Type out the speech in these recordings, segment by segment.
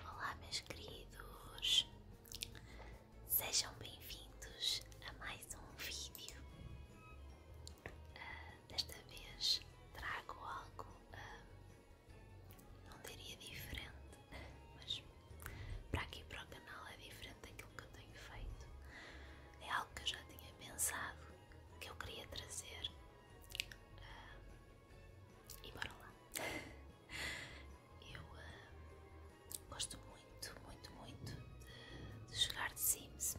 Olá, meus queridos, sejam bem-vindos a mais um vídeo. Ah, desta vez trago algo, ah, não diria diferente, mas para aqui para o canal é diferente daquilo que eu tenho feito. É algo que eu já tinha pensado, que eu queria trazer. Ah, e bora lá. Eu ah, gosto muito, muito, muito de, jogar de Sims.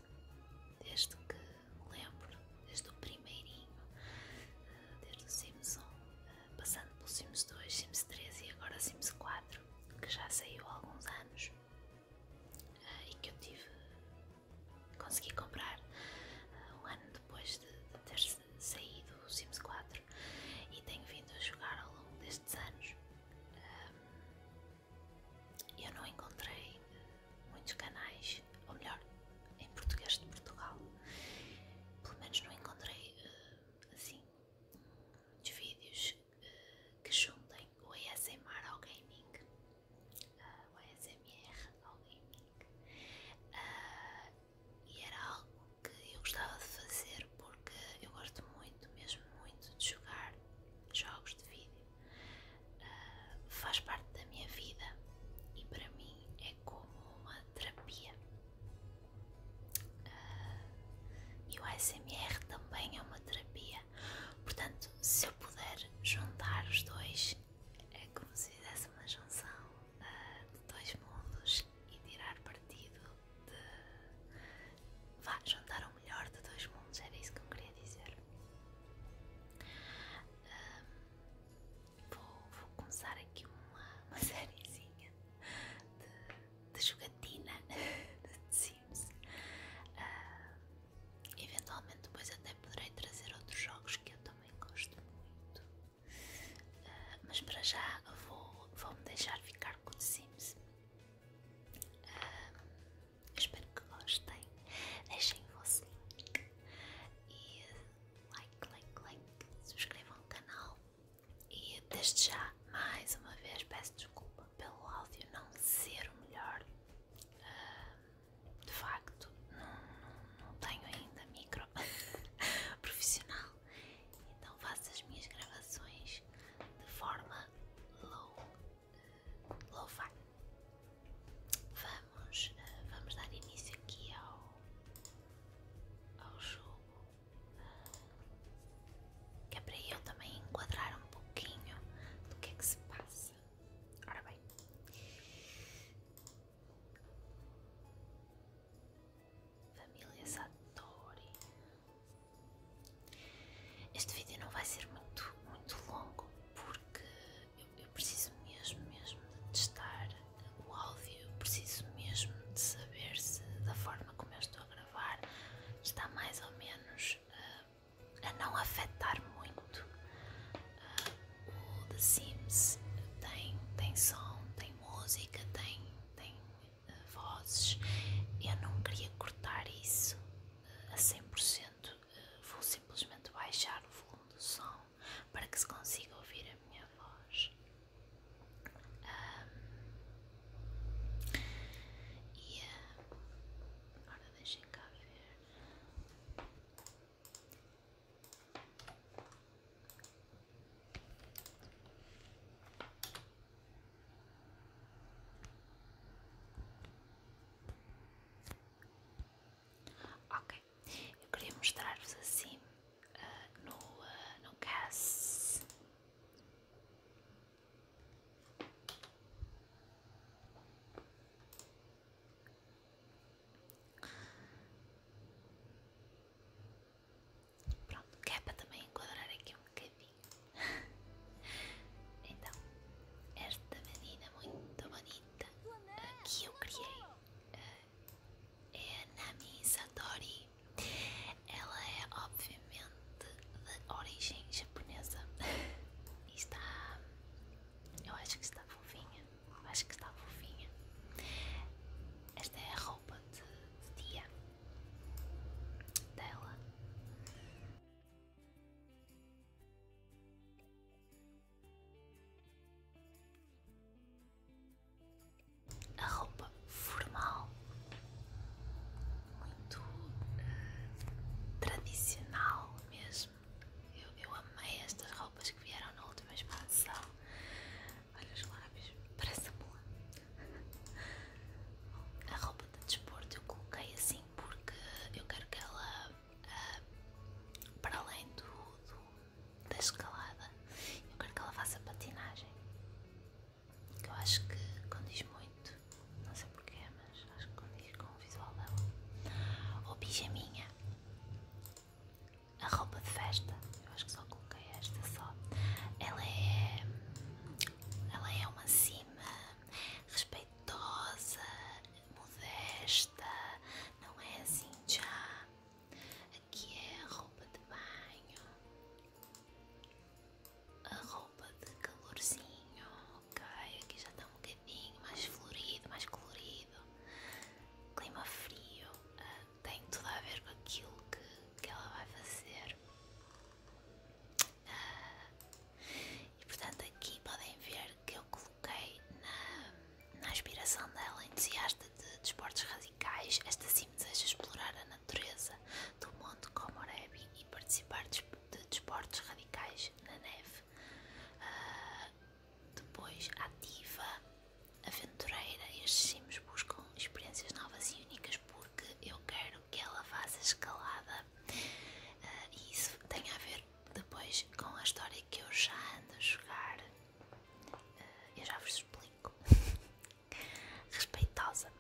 Desde que me lembro, desde o primeirinho, ah, desde o Sims 1, ah, passando pelo Sims 2, Sims 3 e agora Sims 4, que já saiu há alguns anos. e que eu tive, consegui comprar um ano depois de, de ter saí do Sims 4 e tenho vindo a jogar ao longo destes anos. eu não encontrei muitos canais, ou melhor, em português de Portugal, pelo menos não encontrei eh, assim muitos vídeos eh, que juntem o ASMR ao gaming, eh, o ASMR ao gaming ah, e era algo que eu gostava de fazer porque eu gosto muito, mesmo muito, de jogar jogos de vídeo. Ah, faz parte da minha vida e para mim é como uma terapia. Ah, e o ASMR também é uma terapia, portanto, se eu puder juntar os dois é como se fizesse uma junção de dois mundos e tirar partido de. Vá, juntar o melhor de dois mundos, era isso que eu queria dizer. vou, começar aqui uma, uma sériezinha de, jogatina de Sims. Uh, eventualmente, depois até poderei trazer outros jogos que eu também gosto muito. Ah, mas para já vou, vou me deixar ficar com o Sims. Ah, espero que gostem. Deixem o vosso like like, like, like, subscrevam o canal e desde já mais uma vez peço desculpa pelo áudio não ser o melhor. Ah, de facto não, tenho ainda micro profissional, então faço as minhas gravações de forma low, eh, low fi. Vamos, eh, vamos dar início aqui ao, ao jogo, eh, que é para eu também enquadrar um pouquinho do que é que se passa. Ora bem, Família Satori. Este vídeo não vai ser muito, muito longo porque eu, preciso mesmo, mesmo de testar o áudio, eu preciso mesmo de saber se da forma como eu estou a gravar está mais ou menos eh, a não afetar muito o The Sims tem, tem som, tem música, tem, tem eh, vozes. Eu não queria cortar isso uh, a 100%. Uh, eh, vou simplesmente baixar o volume do som para que se consiga ouvir a minha voz. e agora deixem cá ver. Ok, eu queria mostrar-vos assim ah, no, ah, no gas. Pronto, que é para também enquadrar aqui um bocadinho. então, esta menina muito bonita que eu criei eh, é a Nami Satori. Ela é obviamente de origem japonesa e está. Eu acho que está fofinha acho que está fofinha. Esta é a roupa de, dia dela. A roupa formal, muito eh, tradicional mesmo. Eu, amei estas roupas que vieram na última expansão. Olha os lábios, parece boa. A roupa de desporto eu coloquei assim porque eu quero que ela, ah, para além do, da escalada, eu quero que ela faça patinagem. Que eu acho que condiz muito, não sei porquê, mas acho que condiz com o visual dela. Ou pijaminha a roupa de festa, eu acho que só coloquei esta só, ela é, ela é uma cima respeitosa, modesta, não é assim já, aqui é a roupa de banho, a roupa de calorzinho, ok, aqui já está um bocadinho mais florido, mais colorido, clima frio, uh, tem tudo a ver com aquilo que, que ela vai fazer. Ah, e portanto, aqui podem ver que eu coloquei na, na aspiração dela, entusiasta de desportos radicais, esta sim deseja explorar a natureza do Monte Komorebi e participar de desportos radicais na neve. Ah, depois, ativa, aventureira. Estes sims buscam experiências novas e únicas porque eu quero que ela faça escalada. Ah, e isso tem a ver depois com a história que eu já ando a jogar. Ah, eu já vos explico. Respeitosa.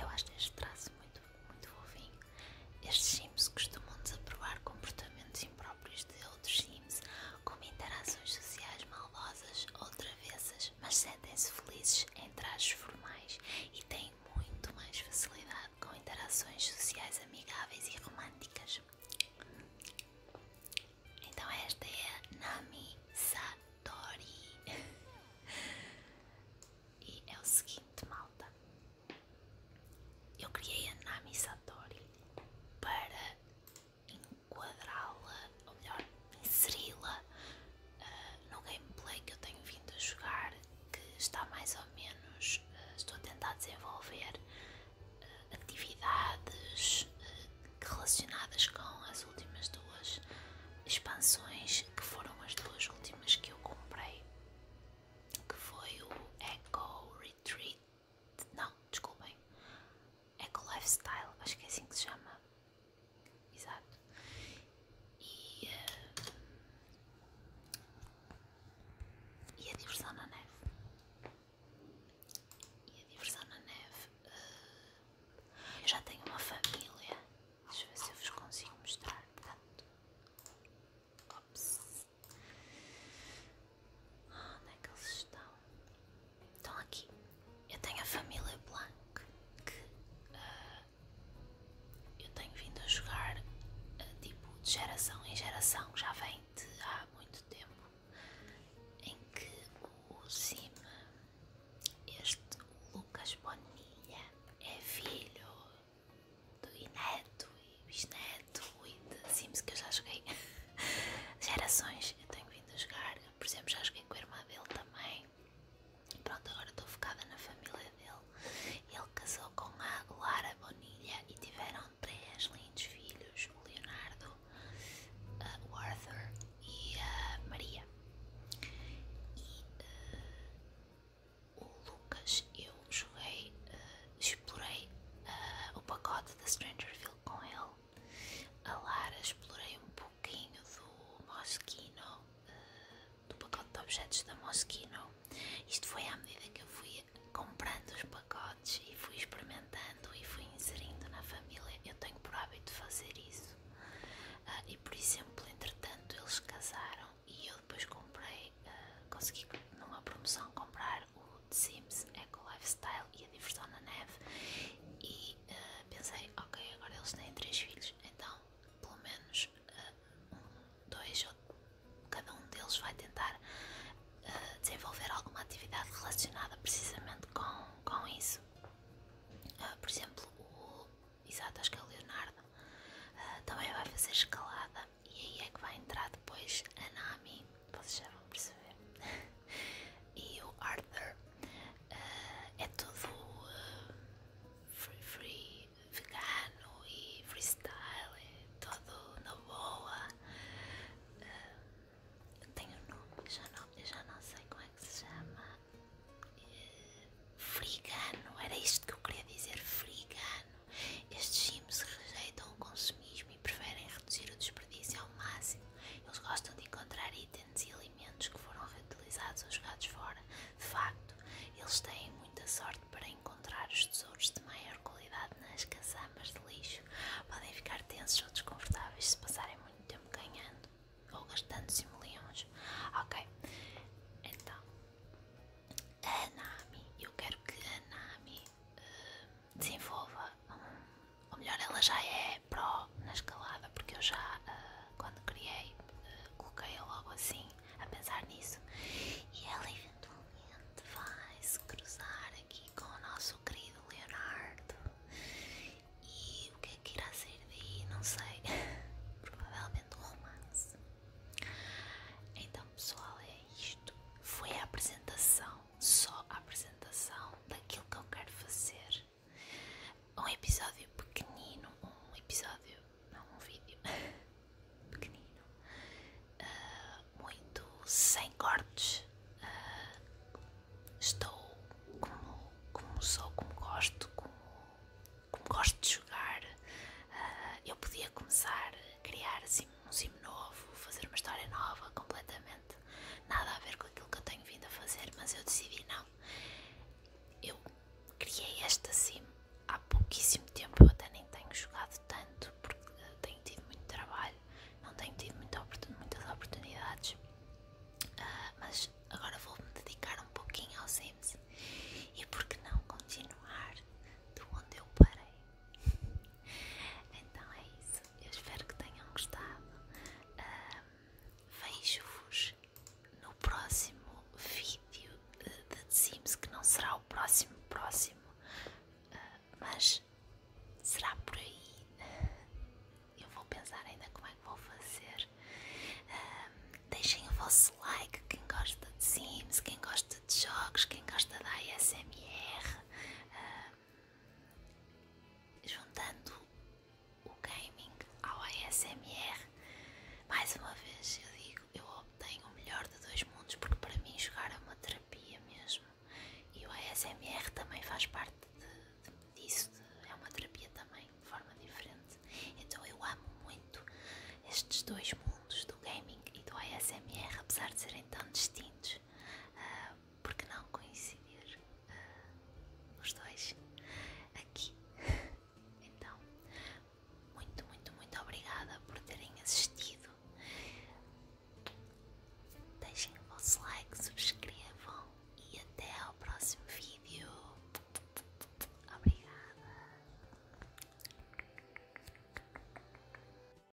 Eu acho este traço muito, muito fofinho. Estes sims costumam desaprovar comportamentos Assim próprios de outros sims, como interações sociais maldosas ou travessas, mas sentem-se felizes em trajes formais e têm muito mais facilidade com interações sociais amigáveis e românticas. Então esta é Nami Satori. e é o seguinte, malta. Eu criei a Nami Satori para enquadrá-la, ou melhor, inseri-la ah, no gameplay que eu tenho vindo a jogar, que está mais ou menos, ah, estou a tentar desenvolver ah, atividades relacionadas com as últimas duas expansões, que foram as duas últimas que eu comprei, que foi o Echo Retreat não, desculpem. Eco Lifestyle, acho que é assim que se chama. Exato. E, eh, e a diversão na neve. E a diversão na neve. Eh, eu já tenho uma família. Deixa eu ver se eu vos consigo mostrar. ops onde é que eles estão? Estão aqui. Eu tenho a família Blanc que ah, eu tenho vindo a jogar ah, tipo de geração em geração, já vem de há muito tempo, em que o Sim, este Lucas Bonilha é filho do Ineto. Luís Neto e de Sims que eu já joguei gerações, eu tenho vindo a jogar, por exemplo já joguei com a irmã dele também e pronto, agora estou focada na família dele ele casou com a Lara Bonilha e tiveram três lindos filhos o Leonardo, o Arthur e a Maria e eh, o Lucas eu joguei, uh, explorei ah, o pacote da Strangerville com ele. A Lara explorei um pouquinho do Moschino, ah, do pacote de objetos da Moschino. Isto foi à medida que eu fui comprando os pacotes e fui experimentando e fui inserindo na família. Eu tenho por hábito fazer isso. Ah, e por exemplo, entretanto, eles casaram e eu depois comprei, uh, consegui numa promoção comprar o The Sims Eco Lifestyle e a Diversão na Neve e eh, pensei, ok, agora eles têm três filhos, então pelo menos eh, um, dois ou cada um deles vai tentar eh, desenvolver alguma atividade relacionada precisamente com, com isso. por exemplo, o exato acho que é o Leonardo também vai fazer escalada e aí é que vai entrar depois a Nami, vocês já vão perceber, e o Arthur. Eh, é tudo eh, free, free, vegano e freestyle, é todo na boa. Eh, tem um nome, já não, eu já não sei como é que se chama. Uh, era isto que eu queria dizer, frigano. Estes sims rejeitam o consumismo preferem reduzir o desperdício ao máximo. Eles gostam de encontrar itens e alimentos que foram reutilizados ou jogados fora. De facto, eles têm muita sorte para encontrar os tesouros de maior qualidade nas caçambas de lixo. Podem ficar tensos ou desconfortáveis se passarem muito tempo ganhando ou gastando simoleões. Ok, então, a Nami, eu quero que a Nami desenvolva ou melhor, ela já é pró na escalada, porque eu já ah, quando criei, ah, coloquei-a logo assim a pensar nisso e ela eventualmente vai se cruzar aqui com o nosso querido Leonardo e o que é que irá sair daí? Não sei, provavelmente um romance. Então pessoal, é isto. Foi a apresentação só a apresentação daquilo que eu quero fazer. Um episódio pequenino, um episódio, não um vídeo, pequenino, ah, muito sem cortes. Ah, estou como, como sou, como gosto, como, gosto de jogar. Ah, eu podia começar a criar assim um sim novo, fazer uma história nova completamente. Nada a ver com aquilo que eu tenho vindo a fazer, mas eu decidi não. Eu criei esta sim há pouquíssimo tempo, eu até nem tenho jogado tanto porque tenho tido muito trabalho, não tenho tido muitas oportunidades, ah, mas agora vou-me dedicar um pouquinho aos Sims e porque que não continuar do onde eu parei? então é isso eu espero que tenham gostado. Um, Vejo-vos no próximo vídeo de Sims, que não será o próximo próximo, ah, mas será por aí. Eu vou pensar ainda como é que vou fazer. deixem o vosso like, quem gosta de Sims, quem gosta de jogos, quem gosta da ASMR juntando o gaming ao ASMR. Mais uma vez eu digo, eu obtenho o melhor de dois mundos porque para mim jogar é uma terapia mesmo. E o ASMR também faz parte disso, é uma terapia também, de forma diferente. Então eu amo muito estes dois mundos, do gaming e do ASMR, apesar de serem tão distintos. Ah, porque não coincidir uh, os dois aqui. então, muito, muito, muito obrigada por terem assistido. Deixem o vosso like, subscrevam e até ao próximo vídeo. Obrigada.